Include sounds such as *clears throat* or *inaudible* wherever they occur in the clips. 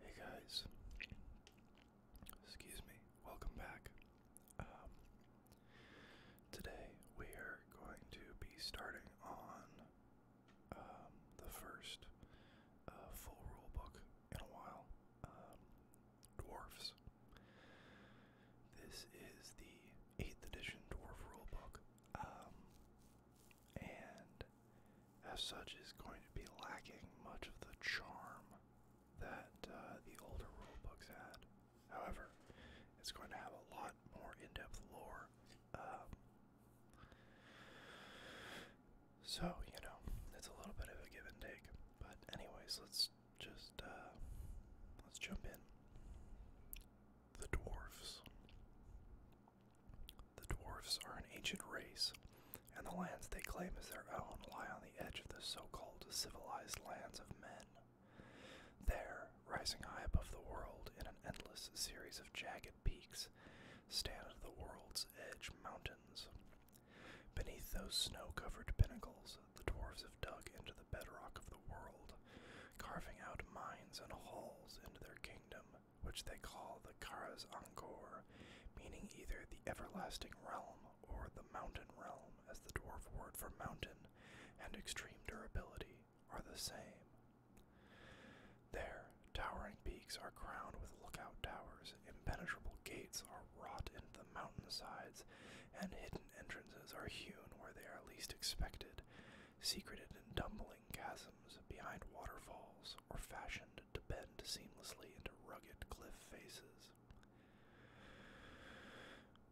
Hey guys, excuse me, welcome back. Um, today we are going to be starting on um, the first uh, full rule in a while um, Dwarfs. This is the 8th edition Dwarf Rulebook and as such is going to be lacking much of the charm that uh, the older rulebooks had. However, it's going to have a lot more in-depth lore. Um, so, you know, it's a little bit of a give and take. But anyways, let's just uh, let's jump in. The dwarves. The dwarfs are an ancient race, and the lands they claim as their own lie on the edge of the so called civilized lands of men. There, rising high above the world in an endless series of jagged peaks, stand the world's edge mountains. Beneath those snow covered pinnacles, the dwarfs have dug into the bedrock of the world, carving out mines and halls into their kingdom which they call the Karas Angkor, meaning either the everlasting realm or the mountain realm, as the dwarf word for mountain and extreme durability are the same. There, towering peaks are crowned with lookout towers, impenetrable gates are wrought into the mountain sides, and hidden entrances are hewn where they are least expected, secreted in tumbling chasms behind waterfalls or fashioned to bend seamlessly into rugged cliff faces.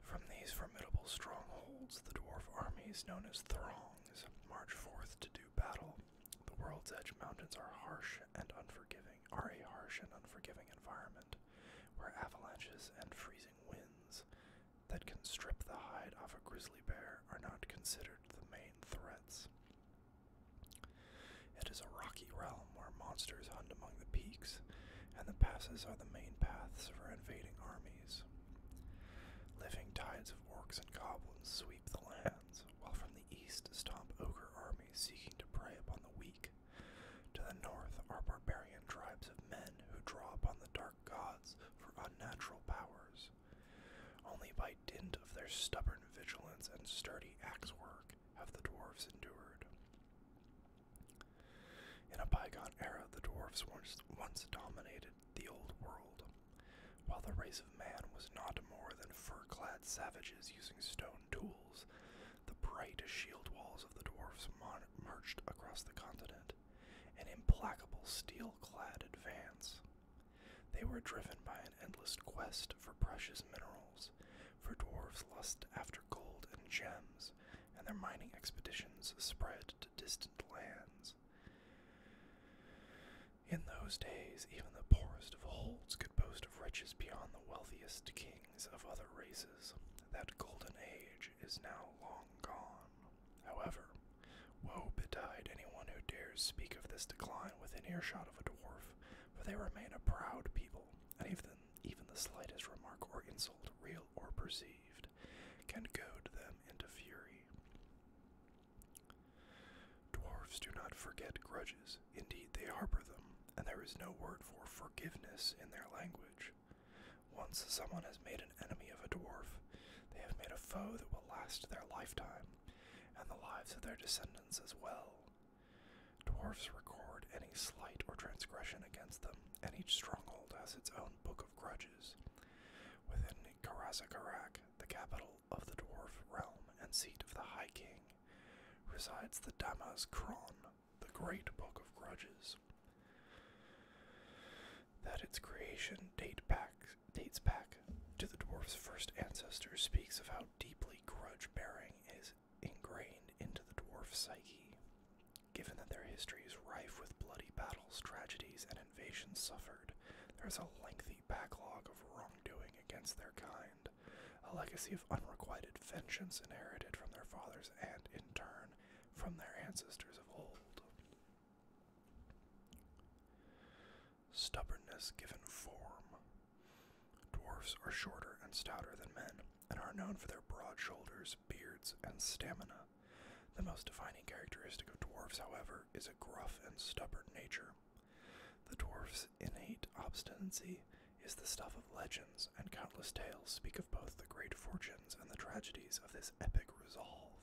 From these formidable strongholds, the dwarf armies known as Throngs march forth to do battle. The World's Edge Mountains are harsh and unforgiving, are a harsh and unforgiving environment where avalanches and freezing winds that can strip the hide off a grizzly bear are not considered the main threats. It is a rocky realm where monsters hunt among the peaks, and the passes are the main paths for invading armies. Living tides of orcs and goblins sweep the lands, while from the east stomp ogre armies seeking to prey upon the weak. To the north are barbarian tribes of men who draw upon the dark gods for unnatural powers. Only by dint of their stubborn vigilance and sturdy axe work have the dwarves endured. In a bygone era, the dwarves once, dominated the old world, while the race of man was not more than fur clad savages using stone tools. The bright shield walls of the dwarves marched across the continent, an implacable steel clad advance. They were driven by an endless quest for precious minerals, for dwarves lust after gold and gems, and their mining expeditions spread to distant lands. In those days, even the poorest of holds could boast of riches beyond the wealthiest kings of other races. That golden age is now long gone. However, woe betide anyone who dares speak of this decline within earshot of a dwarf, for they remain a proud people, and even, even the slightest remark or insult, real or perceived, can goad them into fury. Dwarfs do not forget grudges, indeed, they harbor them, and there is no word for forgiveness in their language. Once someone has made an enemy of a dwarf, they have made a foe that will last their lifetime, and the lives of their descendants as well. Dwarves record any slight or transgression against them, and each stronghold has its own book of grudges. Within Karazakarak, the capital of the dwarf realm and seat of the High King, resides the Damas Kron, the Great Book of Grudges that its creation dates back to the dwarf's first ancestor speaks of how deeply grudge bearing is ingrained into the dwarf's psyche. Given that their history is rife with bloody battles, tragedies, and invasions suffered, there is a lengthy backlog of wrongdoing against their kind, a legacy of unrequited vengeance inherited from their fathers and, in turn, from their ancestors of old. Stubbornness given form. Dwarfs are shorter and stouter than men, and are known for their broad shoulders, beards, and stamina. The most defining characteristic of dwarfs, however, is a gruff and stubborn nature. The dwarf's innate obstinacy is the stuff of legends, and countless tales speak of both the great fortunes and the tragedies of this epic resolve.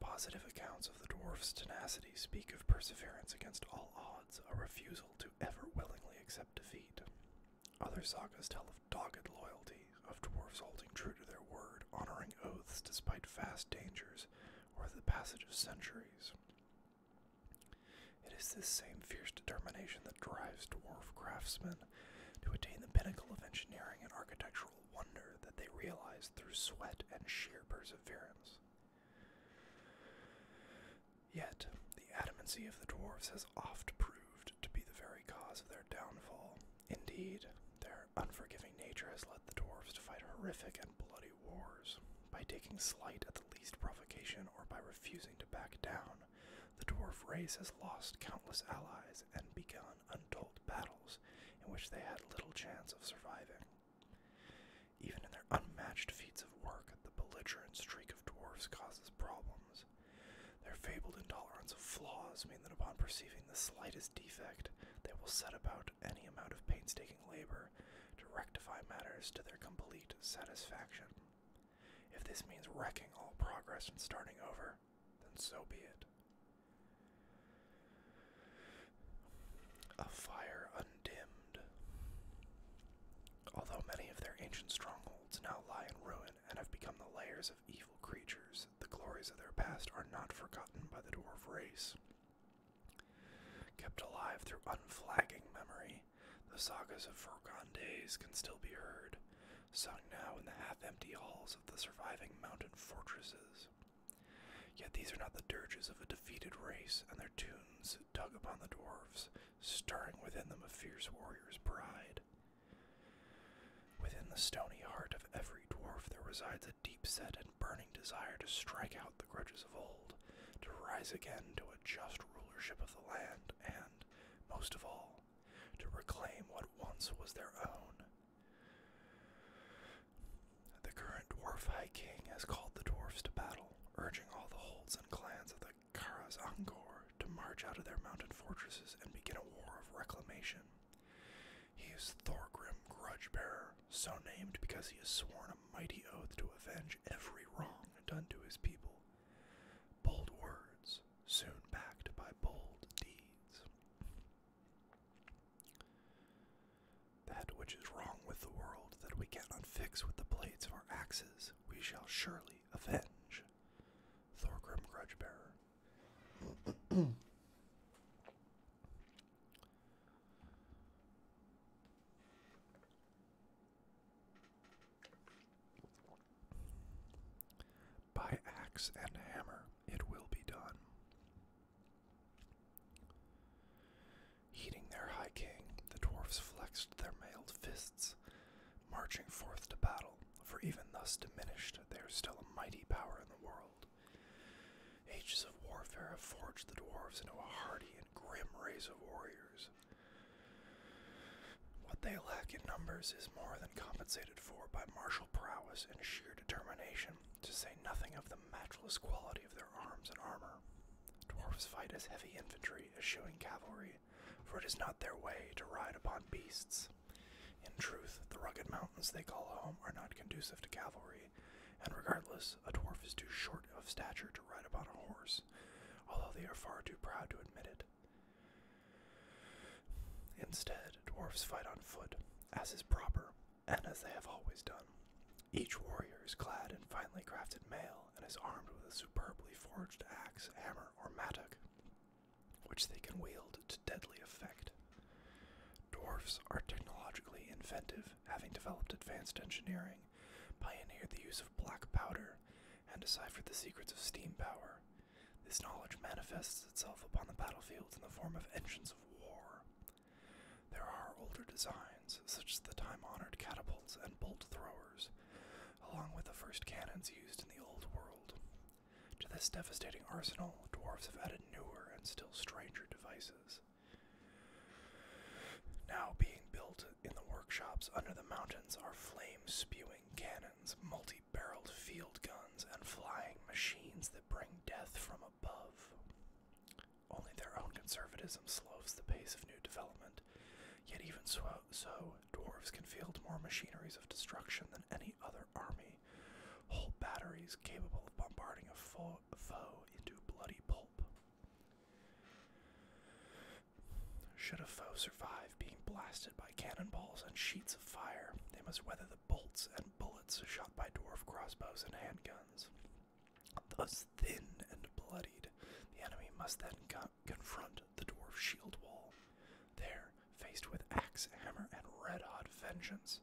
Positive accounts of the dwarf's tenacity speak of perseverance against all odds, a refusal to ever willingly accept defeat. Other sagas tell of dogged loyalty, of dwarfs holding true to their word, honoring oaths despite vast dangers, or the passage of centuries. It is this same fierce determination that drives dwarf craftsmen to attain the pinnacle of engineering and architectural wonder that they realized through sweat and sheer perseverance. Yet, the adamancy of the dwarves has oft proved to be the very cause of their downfall. Indeed, their unforgiving nature has led the dwarves to fight horrific and bloody wars. By taking slight at the least provocation or by refusing to back down, the dwarf race has lost countless allies and begun untold battles in which they had little chance of surviving. Even in their unmatched feats of work, the belligerent streak of dwarves causes problems. Their fabled intolerance of flaws mean that upon perceiving the slightest defect, they will set about any amount of painstaking labor to rectify matters to their complete satisfaction. If this means wrecking all progress and starting over, then so be it. A fire undimmed. Although many of their ancient strongholds now lie in ruin and have become the lairs of evil creatures, the glories of their past are not forgotten by the dwarf race. Kept alive through unflagging memory, the sagas of foregone days can still be heard, Sung now in the half empty halls of the surviving mountain fortresses. Yet these are not the dirges of a defeated race, and their tunes dug upon the dwarfs, stirring within them a fierce warrior's pride. Within the stony heart of every dwarf there resides a deep set and burning desire to strike out the grudges of old, to rise again to a just rulership of the land, and, most of all, to reclaim what once was their own. The current dwarf High King has called the dwarfs to battle, urging all the holds and clans of the Karas Angor to march out of their mountain fortresses and begin a war of reclamation. He is Thorgrim Grudgebearer, so named because he has sworn a mighty oath to avenge every wrong done to his people. Bold words, soon backed by bold deeds. That which is wrong with the world that we cannot fix with the blades of our axes, we shall surely avenge. Thorgrim Grudgebearer. By axe and hammer it will be done. Heeding their high king, the dwarfs flexed their mailed fists, marching forth to battle, for even thus diminished, they are still a mighty power in the world. Ages of warfare have forged the dwarves into a hardy and grim race of warriors. What they lack in numbers is more than compensated for by martial prowess and sheer determination, to say nothing of the matchless quality of their arms and armor. Dwarfs fight as heavy infantry as shooting cavalry, for it is not their way to ride upon beasts. In truth, the rugged mountains they call home are not conducive to cavalry, and regardless, a dwarf is too short of stature to ride upon a horse, although they are far too proud to admit it. Instead, dwarfs fight on foot, as is proper, and as they have always done. Each warrior is clad in finely crafted mail and is armed with a superbly forged axe, hammer, or mattock, which they can wield to deadly effect. Dwarfs are technologically inventive, having developed advanced engineering, pioneered the use of black powder, and deciphered the secrets of steam power. This knowledge manifests itself upon the battlefields in the form of engines of war. There are older designs, such as the time honored catapults and bolt throwers, along with the first cannons used in the Old World. To this devastating arsenal, dwarves have added newer and still stranger devices. Now being built in the workshops under the mountains are flame spewing cannons, multi barreled field guns, and flying machines that bring death from above. Only their own conservatism slows the pace of new development, yet, even so, dwarves can field more machineries of destruction than any other army, whole batteries capable of bombarding a foe, a bloody pulp. Should a foe survive being blasted by cannonballs and sheets fire. They must weather the bolts and bullets shot by dwarf crossbows and handguns. Thus thin and bloodied, the enemy must then confront the dwarf shield wall. There, faced with axe, hammer, and red hot vengeance,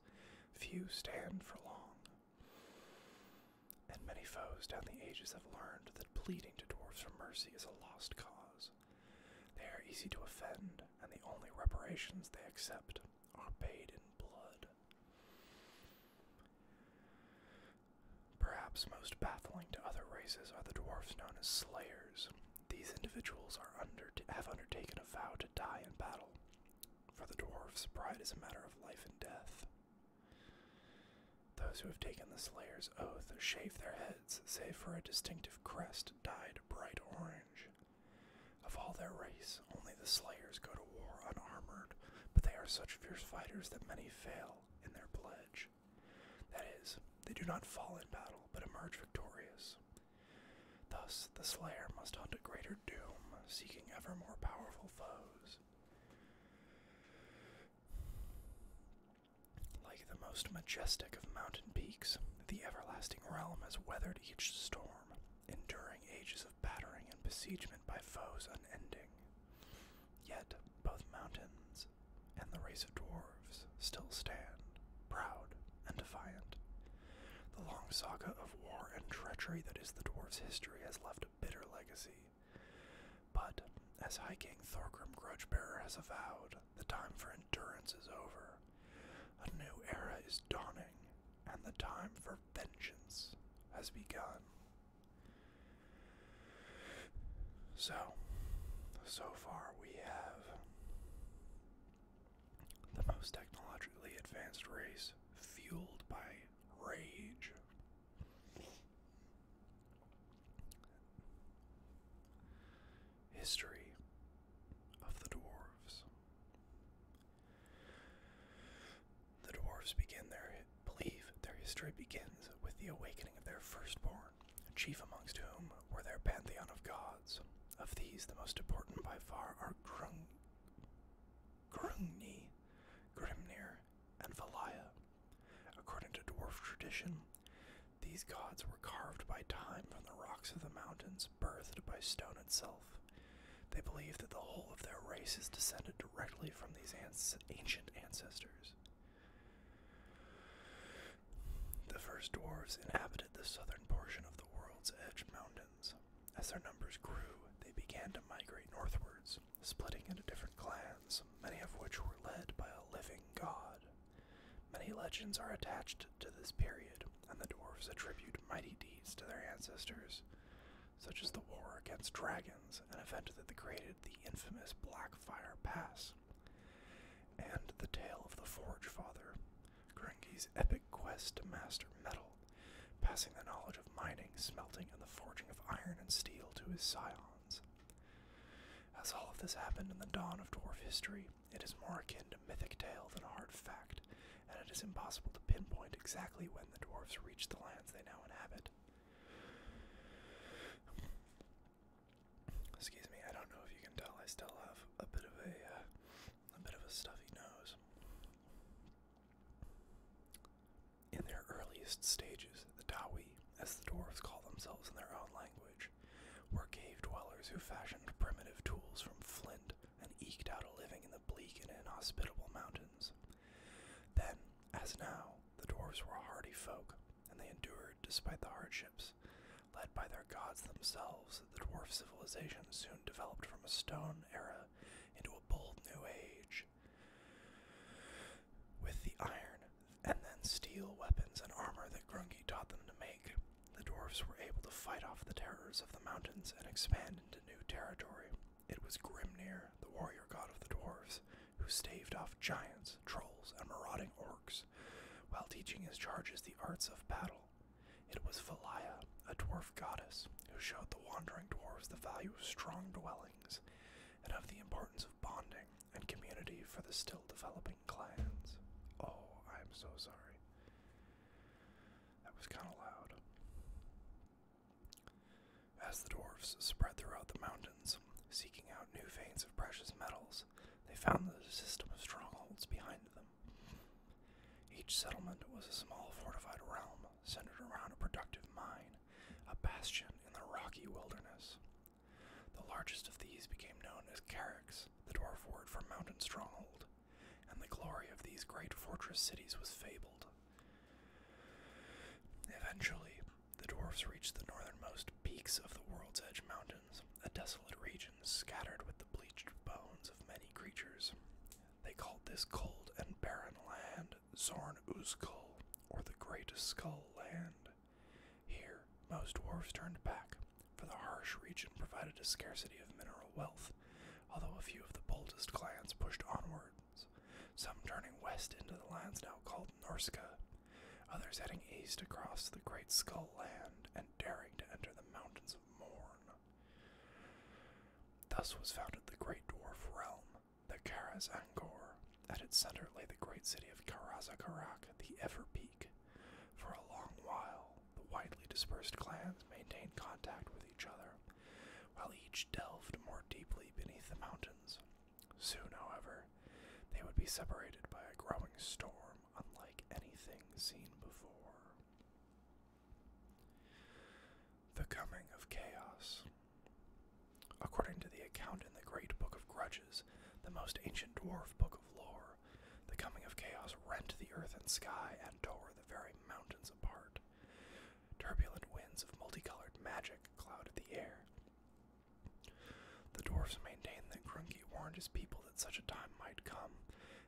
few stand for long. And many foes down the ages have learned that pleading to dwarfs for mercy is a lost cause. They are easy to offend, and the only reparations they accept are paid in blood. Perhaps most baffling to other races are the dwarfs known as slayers. These individuals have undertaken a vow to die in battle. For the dwarfs, pride is a matter of life and death. Those who have taken the Slayer's oath shave their heads, save for a distinctive crest dyed bright orange. Of all their race, only the slayers go to war unarmored, but they are such fierce fighters that many fail in their pledge. That is, they do not fall in battle, but emerge victorious. Thus, the slayer must hunt a greater doom, seeking ever more powerful foes. Like the most majestic of mountain peaks, the everlasting realm has weathered each storm, enduring ages of battering and besiegement by foes unending. Yet both mountains and the race of dwarves still stand, proud and defiant. The long saga of war and treachery that is the dwarves' history has left a bitter legacy. But, as High King Thorgrim Grudgebearer has avowed, the time for endurance is over. A new era is dawning, and the time for vengeance has begun. So, so far we have the most technologically advanced race fueled by rage. History of the Dwarves. The Dwarves begin their believe their history begins with the awakening of their firstborn, chief amongst whom were their pantheon of gods. Of these, the most important by far are Grung, Grungni, Grimnir, and Valaya. According to dwarf tradition, these gods were carved by time from the rocks of the mountains, birthed by stone itself. They believe that the whole of their race is descended directly from these ancient ancestors. The first dwarves inhabited the southern portion of the world's edge mountains. As their numbers grew, they began to migrate northwards, splitting into different clans, many of which were led by a living god. Many legends are attached to this period, and the dwarves attribute mighty deeds to their ancestors, such as the war against dragons, an event that created the infamous Blackfire Pass, and the tale of the Forge Father, Grungi's epic quest to master metal, passing the knowledge of mining, smelting, and the forging of iron and steel to his scions. As all of this happened in the dawn of dwarf history, it is more akin to mythic tale than a hard fact, and it is impossible to pinpoint exactly when the dwarves reached the lands they now inhabit. Excuse me, I don't know if you can tell I still have a bit of a uh, a bit of a stuffy nose. In their earliest stages, the Dawi, as the dwarves call themselves in their own language, Age were cave dwellers who fashioned primitive tools from flint and eked out a living in the bleak and inhospitable mountains. Then, as now, the dwarves were a hardy folk, and they endured despite the hardships. Led by their gods themselves, the dwarf civilization soon developed from a stone era into a bold new age. With the iron and then steel weapons and armor that Grungi taught them to make. The dwarves were able to fight off the terrors of the mountains and expand into new territory. It was Grimnir, the warrior god of the dwarves, who staved off giants, trolls, and marauding orcs while teaching his charges the arts of battle. It was Valaya, a dwarf goddess, who showed the wandering dwarves the value of strong dwellings and of the importance of bonding and community for the still developing clans. Oh, I'm so sorry. That was kind of loud. As the dwarfs spread throughout the mountains, seeking out new veins of precious metals, they found the system of strongholds behind them. Each settlement was a small fortified realm centered around a productive mine, a bastion in the rocky wilderness, the largest of these became known as Carracks, the dwarf word for mountain stronghold, and the glory of these great fortress cities was fabled. Eventually, the dwarfs reached the northernmost peaks of the World's Edge Mountains, a desolate region scattered with the bleached bones of many creatures. They called this cold and barren land Zorn Uzkul, or the Great Skull Land. Here, most dwarves turned back, for the harsh region provided a scarcity of mineral wealth, although a few of the boldest clans pushed onwards, some turning west into the lands now called Norska, others heading east across the Great Skull Land and daring to enter the mountains of Morn. Thus was founded the Great Dwarf Realm, the Karaz angor At its center lay the great city of Karaz-Karak, the ever for a long while, the widely dispersed clans maintained contact with each other, while each delved more deeply beneath the mountains. Soon, however, they would be separated by a growing storm unlike anything seen before. The Coming of Chaos. According to the account in the Great Book of Grudges, the most ancient dwarf book the coming of chaos rent the earth and sky and tore the very mountains apart. Turbulent winds of multicolored magic clouded the air. The dwarfs maintained that Grunki warned his people that such a time might come,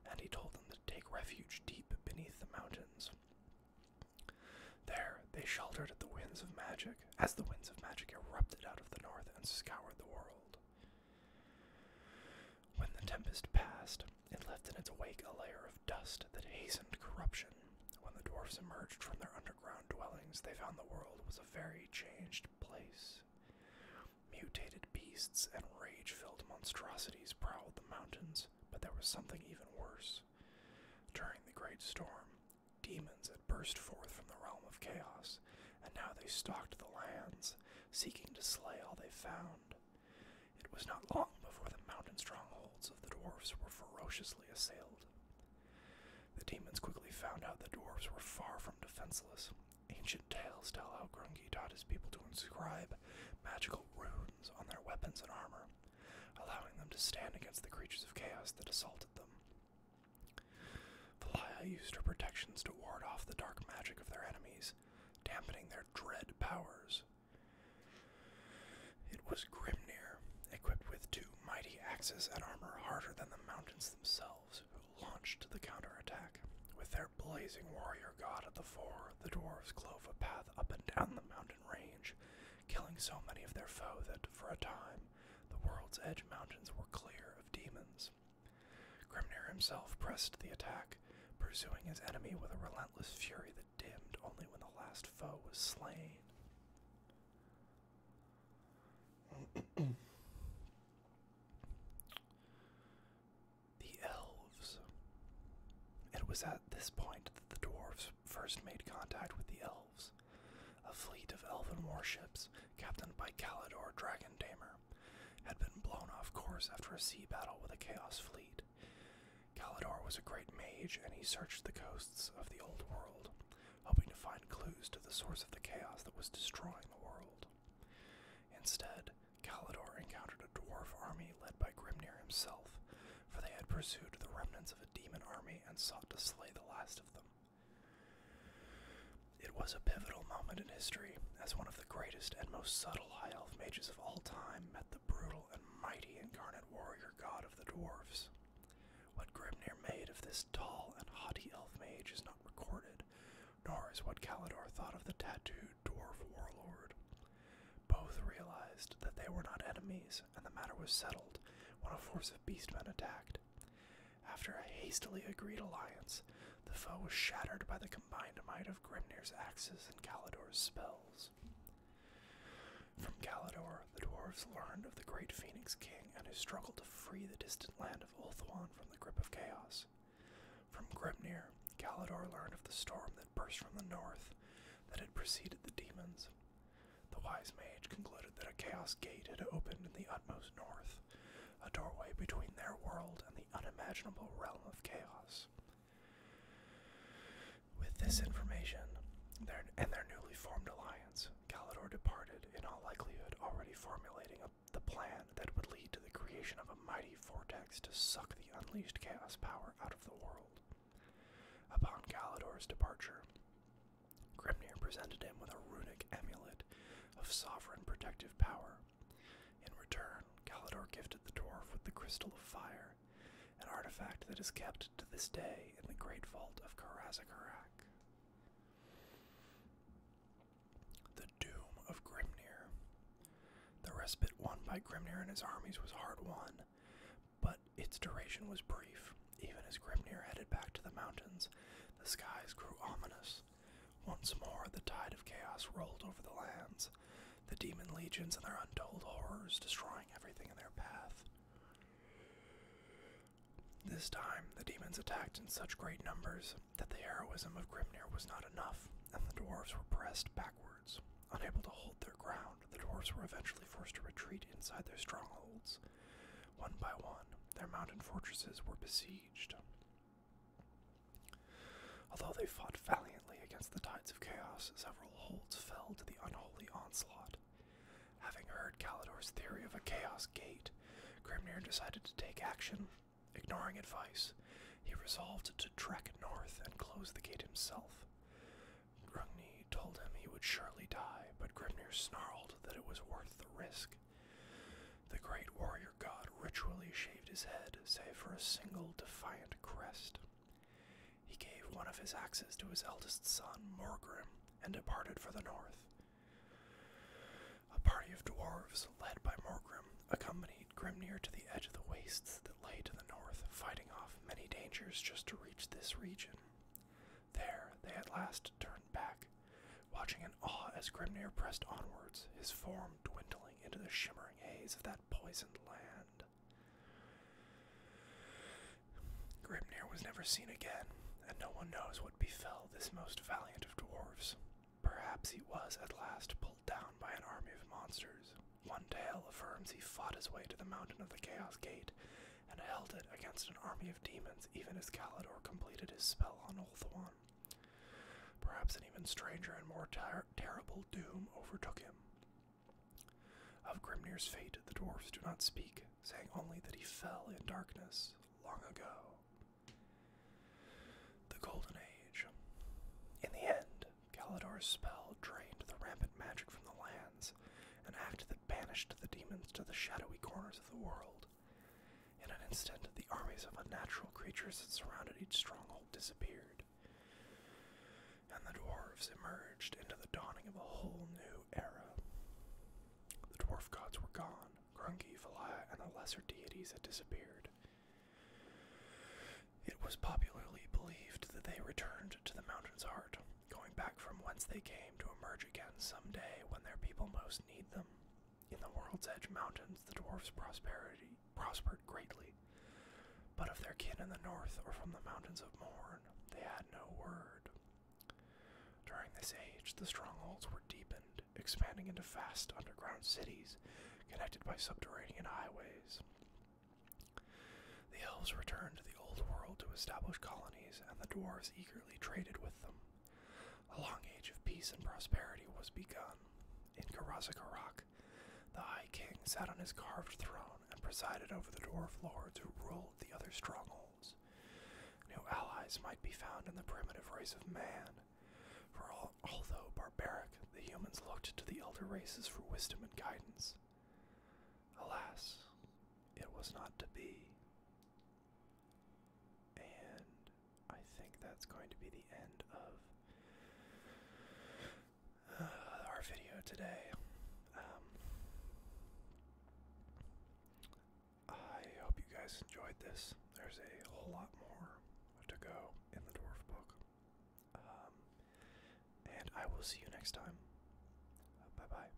and he told them to take refuge deep beneath the mountains. There, they sheltered at the winds of magic, as the winds of magic erupted out of the north and scoured the world. When the tempest passed, it left in its wake a layer of dust that hastened corruption. When the dwarfs emerged from their underground dwellings, they found the world was a very changed place. Mutated beasts and rage filled monstrosities prowled the mountains, but there was something even worse. During the great storm, Demons had burst forth from the realm of chaos, and now they stalked the lands, seeking to slay all they found. It was not long before the mountain strongholds of the dwarfs were ferociously assailed. The demons quickly found out the dwarves were far from defenseless. Ancient tales tell how Grungi taught his people to inscribe magical runes on their weapons and armor, allowing them to stand against the creatures of chaos that assaulted them. Valaya used her protections to ward off the dark magic of their enemies, dampening their dread powers. It was Grimnir, equipped with two mighty axes and armor harder than the mountains themselves, who launched the counterattack. With their blazing warrior god at the fore, the dwarves clove a path up and down the mountain range, killing so many of their foe that, for a time, the world's edge mountains were clear of demons. Grimnir himself pressed the attack, pursuing his enemy with a relentless fury that dimmed only when the last foe was slain. *clears throat* the elves. It was at this point that the dwarves first made contact with the elves. A fleet of elven warships, captained by Kalidor Dragon Tamer, had been blown off course after a sea battle with a Chaos fleet. Kalidor was a great mage, and he searched the coasts of the Old World, hoping to find clues to the source of the chaos that was destroying the world. Instead, Kalidor encountered a dwarf army led by Grimnir himself, for they had pursued the remnants of a demon army and sought to slay the last of them. It was a pivotal moment in history as one of the greatest and most subtle high elf mages of all time met the brutal and mighty incarnate warrior god of the dwarves. What Grimnir made of this tall and haughty elf mage is not recorded, nor is what Kalidor thought of the tattooed dwarf warlord. Both realized that they were not enemies, and the matter was settled when a force of beastmen attacked. After a hastily agreed alliance, the foe was shattered by the combined might of Grimnir's axes and Kalidor's spells. From Kalidor, the dwarves learned of the great Phoenix King and his struggle to free the distant land of Ulthuan from the grip of chaos. From Grimnir, Kalidor learned of the storm that burst from the north that had preceded the demons. The wise mage concluded that a chaos gate had opened in the utmost north, a doorway between their world and the unimaginable realm of chaos. With this information and their newly formed alliance, Galador departed, in all likelihood already formulating a, the plan that would lead to the creation of a mighty vortex to suck the unleashed chaos power out of the world. Upon Galador's departure, Grimnir presented him with a runic amulet of sovereign protective power. In return, Kalidor gifted the dwarf with the Crystal of Fire, an artifact that is kept to this day in the Great Vault of Karazakorak. The Doom of Grimnir. The respite won by Grimnir and his armies was hard won, but its duration was brief. Even as Grimnir headed back to the mountains, the skies grew ominous. Once more, the tide of chaos rolled over the lands, the demon legions and their untold horrors destroying everything in their path. This time, the demons attacked in such great numbers that the heroism of Grimnir was not enough, and the dwarves were pressed backwards. Unable to hold their ground, the dwarves were eventually forced to retreat inside their strongholds. One by one, their mountain fortresses were besieged. Although they fought valiantly against the tides of chaos, several holds fell to the unholy onslaught. Having heard Kalidor's theory of a chaos gate, Grimnir decided to take action. Ignoring advice, he resolved to trek north and close the gate himself. Grungni told him he would surely die, but Grimnir snarled that it was worth the risk. The great warrior god ritually shaved his head, save for a single defiant crest. He gave one of his axes to his eldest son, Morgrim, and departed for the north. A party of dwarves, led by Morgrim, accompanied Grimnir to the edge of the wastes that lay to the north, fighting off many dangers just to reach this region. There, they at last turned back, watching in awe as Grimnir pressed onwards, his form dwindling into the shimmering haze of that poisoned land. Grimnir was never seen again, and no one knows what befell this most valiant of dwarfs. Perhaps he was at last pulled down by an army of monsters. One tale affirms he fought his way to the mountain of the Chaos Gate and held it against an army of demons, even as Calidor completed his spell on Ulthuan. Perhaps an even stranger and more terrible doom overtook him. Of Grimnir's fate, the dwarfs do not speak, saying only that he fell in darkness long ago. The Golden Age. In the end, Kalidor's spell drained the rampant magic from the lands, an act that banished the demons to the shadowy corners of the world. In an instant, the armies of unnatural creatures that surrounded each stronghold disappeared, and the dwarves emerged into the dawning of a whole new era. The dwarf gods were gone, Grungi, Valaya, and the lesser deities had disappeared. It was popularly believed that they returned to the mountain's heart, going back from whence they came to emerge again some day when their people most need them. In the world's edge mountains, the dwarfs' prosperity prospered greatly, but of their kin in the north or from the mountains of Morn, they had no word. During this age, the strongholds were deepened, expanding into vast underground cities connected by subterranean highways. The elves returned to the old world to establish colonies, and the dwarfs eagerly traded with them. A long age of peace and prosperity was begun. In Karazakarok, the High King sat on his carved throne and presided over the dwarf lords who ruled the other strongholds. New allies might be found in the primitive race of man, for although barbaric, the humans looked to the elder races for wisdom and guidance. Alas, it was not to be. And I think that's going to be the end of uh, our video today. Um, I hope you guys enjoyed this. There's a whole lot more to go in the Dwarf Book. Um, and I will see you next time. bye bye.